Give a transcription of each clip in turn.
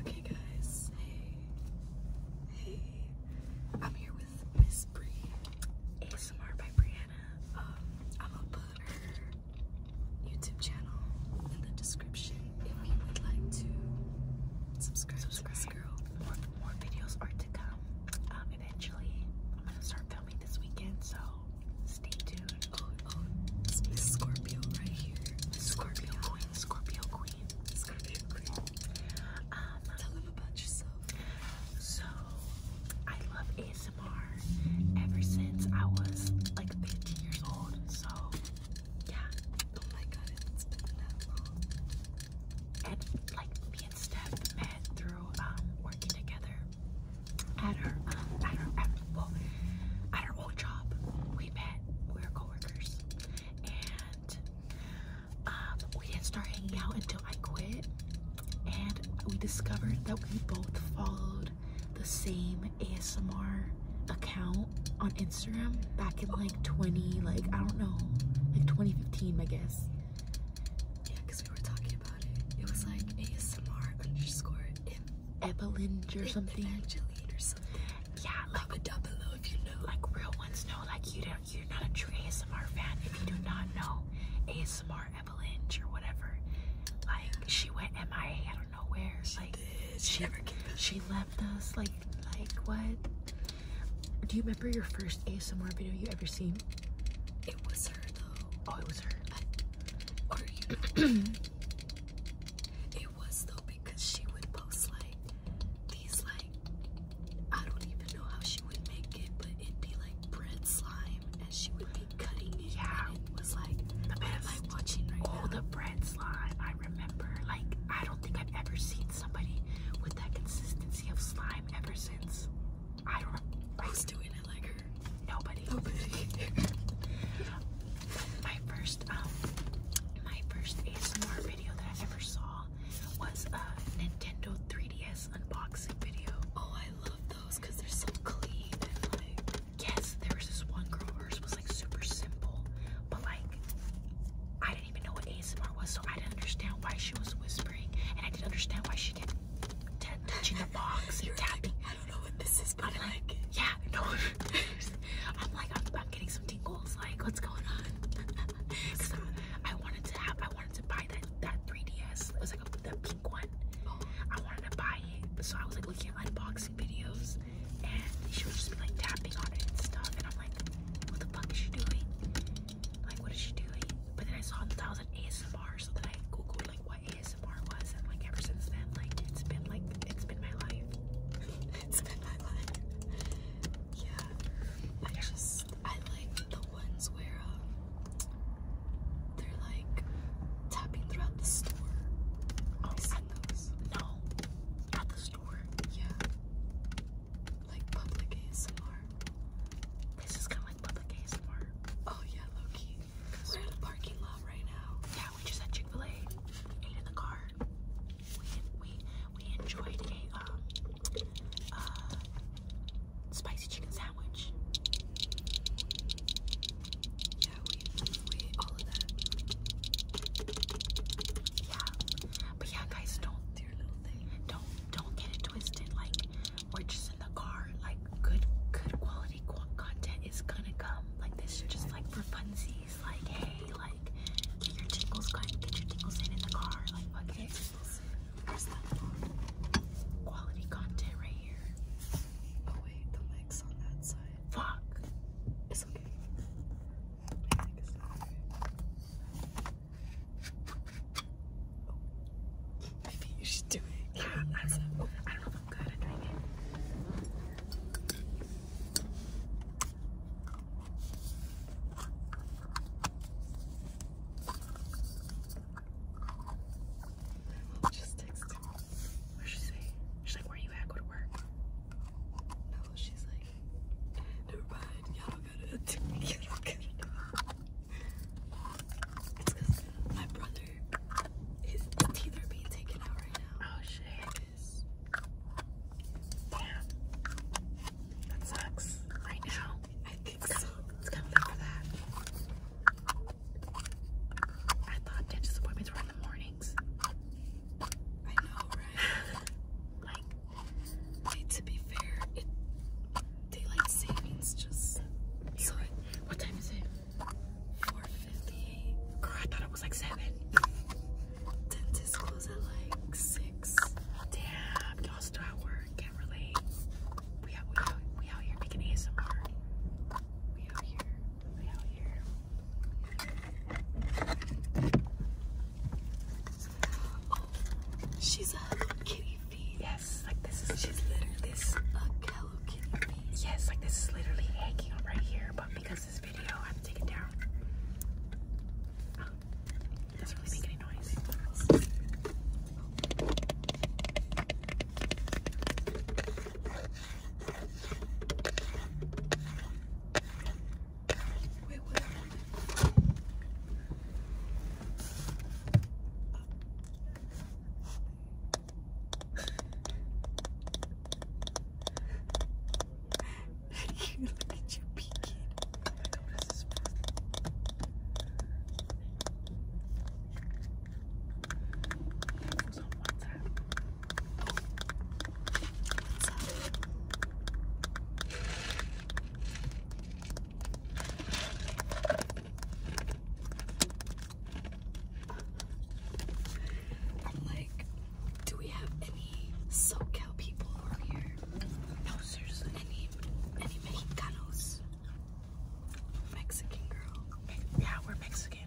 Okay guys, hey, I'm here with Miss Bree, ASMR by Brianna. I'm um, gonna put her YouTube channel in the description if you would like to subscribe, subscribe. to girl. More, videos are to come. Um, eventually, I'm gonna start filming this weekend, so stay tuned. Oh, oh, this is Scorpio right here. Scorpio, Scorpio Queen. Scorpio Queen. Scorpio Queen. Um, Tell them about yourself. So, I love ASMR ever since I was like 15 years old. So, yeah. Oh my god, And like me and Steph met through um, working together at her, um, at her, at her job. We met. We were coworkers, and um, we didn't start hanging out until I quit. And we discovered that we both followed the same ASMR account on Instagram back in like 20, like I don't know, like 2015, I guess. Yeah, because we were talking about it. It was like ASMR underscore Evelyn or something. Evangeline or something ones. Yeah, like a double below if you know. Like real ones No, Like you don't. You're not a true ASMR fan if you do not know ASMR Avalanche or whatever. Like she went MIA. I don't know where. She like did. she never came. She left us. Like like what? Do you remember your first ASMR video you ever seen? It was her though. Oh, it was her. I, you. was though because she would post like these like I don't even know how she would make it, but it'd be like bread slime and she would be cutting it. out. it was like the best. Like watching all the bread slime! I remember. Like I don't think I've ever seen somebody with that consistency of slime ever since. I was doing it like Nobody. Nobody. My first, um, my first ASMR video that I ever saw was a Nintendo 3DS unboxing video. Oh, I love those because they're so clean and like. Yes, there was this one girl. Hers was like super simple, but like I didn't even know what ASMR was, so I didn't understand why she was whispering, and I didn't understand why she kept touching the box and tapping. I don't know what this is, but like, yeah, no. I'm like, I'm, getting some tingles. Like, what's going on? I, wanted to have, I wanted to buy that that 3ds. It was like the pink one. I wanted to buy it, so I was like looking at unboxing videos, and she was just be like tapping on it and stuff, and I'm like, what the fuck is she doing? Like, what is she doing? But then I saw that was an ASMR, so then I googled like what ASMR was, and like ever since then, like it's been like it's been my life it's been my life. Yeah, I yeah. just I like the ones where um, they're like tapping throughout the store. Oh, i seen those. No, at the store. Yeah, like public ASMR. This is kind of like public ASMR. Oh yeah, Loki. We're in a parking lot right now. Yeah, yeah, we just had Chick Fil A, ate in the car. We we enjoyed a um, uh, spicy chicken sandwich. Yeah, we we all of that. Yeah, but yeah, guys, don't Don't don't get it twisted. Like we're just in the car. Like good good quality content is gonna come. Like this, just like for funsies like, hey, like, get your tingles get your tingles in in the car, like, fuck it. quality content right here. Oh wait, the mic's on that side. Fuck. It's okay. Oh, maybe you should do it. I don't I don't know if I'm good at doing it just texted me. she say? She's like, where are you at? Go to work. No, she's like, never mind. Y'all gotta do to do it. my brother, his teeth are being taken out right now. Oh, shit. Yeah. That sucks. Right now. I think so. It's coming up for that. I thought dentist appointments were in the mornings. I know, right? like, to be fair, daylight savings just. So, what time is it? 4.58. Girl, I thought it was like 7. Dentist close at like 6. Damn, y'all still at work. Can't relate. We out, here making ASMR. We out here. We out here. Oh, she's a Hello Kitty Yes, like this is she's literally this a Hello Kitty feed. Yes, like this is literally hanging on right here, but because this video. I have to take it down. Oh, doesn't really make any noise. you look at you peeking. It was on WhatsApp. WhatsApp. I'm like, do we have any SoCal people around here? No, seriously. Any, any Mexicanos? Mexican girl. yeah, we're Mexican.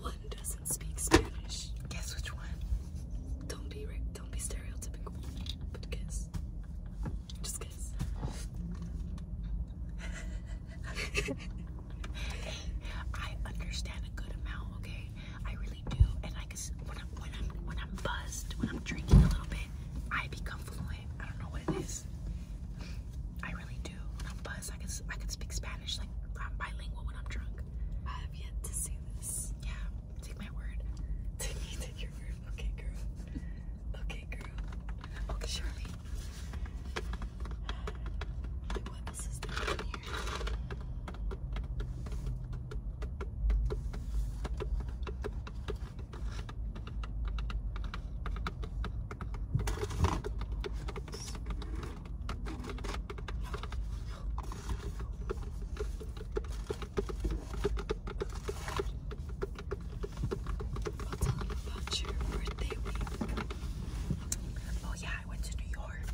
One doesn't speak Spanish. Guess which one? Don't be don't be stereotypical, but guess. Just guess. Hey, I understand a good amount, okay? I really do, and I guess when I'm when I'm when I'm buzzed, when I'm drinking a little bit, I become fluent. I don't know what it is. I really do. When I'm buzzed, I can I can speak Spanish like I'm bilingual when I'm drunk. I have yet to say this. Yeah, take my word. Take me, take your word. Okay, girl. Okay, girl. Okay, Shirley. Like what? I'll tell you about your birthday week. Oh, yeah, I went to New York,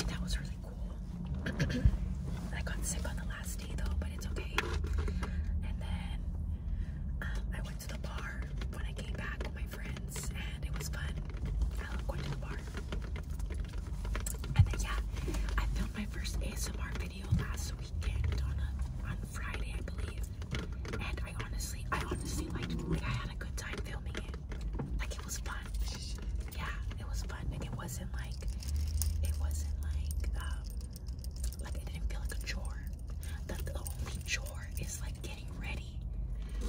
and that was really cool. I got sick on the last day though, but it's okay. And then um, I went to the bar when I came back with my friends, and it was fun. I love going to the bar. And then yeah, I filmed my first ASMR video last weekend on a, on Friday, I believe. And I honestly, I honestly liked. Like I had a good time filming it. Like it was fun. Yeah, it was fun. Like it wasn't like it wasn't like um, like it didn't feel like a chore. The, the only chore is like getting ready.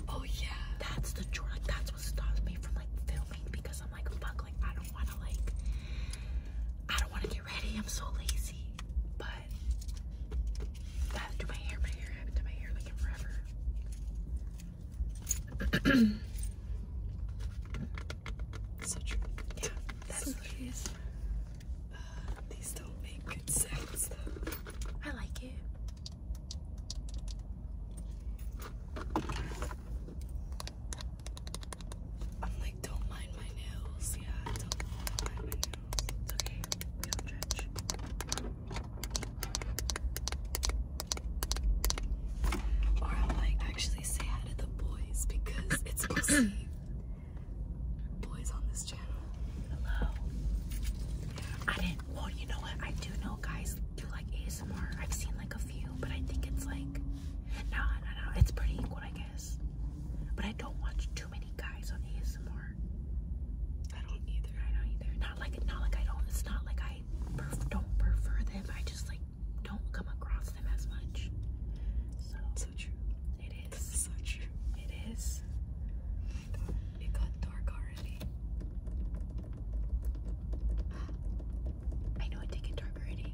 Oh yeah. That's the chore. Like that's what stops me from like filming because I'm like fuck like I don't wanna like I don't wanna get ready. I'm so lazy. But I have to do my hair, my hair, I haven't done my hair like forever. so true. Yeah, that's what it is. these don't make good sounds though. I like it. I'm like, don't mind my nails. Yeah, don't, mind my nails. It's okay. don't judge. Or I'll like actually say hi to the boys because it's mostly boys on this channel. Hello. I didn't, well, you know what? I do know guys do like ASMR. I've seen like a few, but I think it's like, no, no, no. It's pretty equal, I guess. But I don't watch too many guys on ASMR anymore. I don't either. I don't either. Not like not like I don't. It's not like I don't prefer them. I just like don't come across them as much. So so true. It is so true. It is. It got dark already. I know it did get dark already.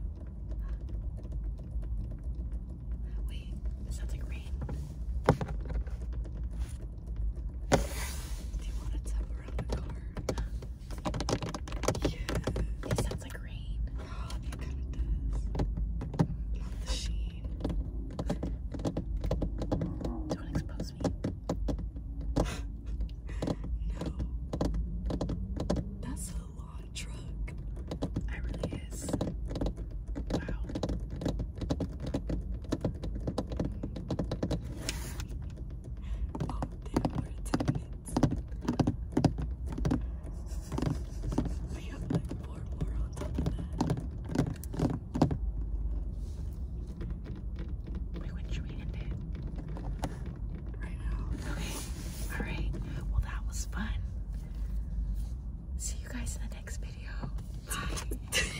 Wait, sounds like rain. Do you want to tap around the car? Yeah. It sounds like rain. Oh, it kind of does. Not the sheen. Don't expose me. no. That's a long truck. I really is. Wow. Oh, damn, we're minutes. We have like four more on top of that. Wait, should end it? Right now. Okay. Alright. Well, that was fun. See you guys in the next video. Bye.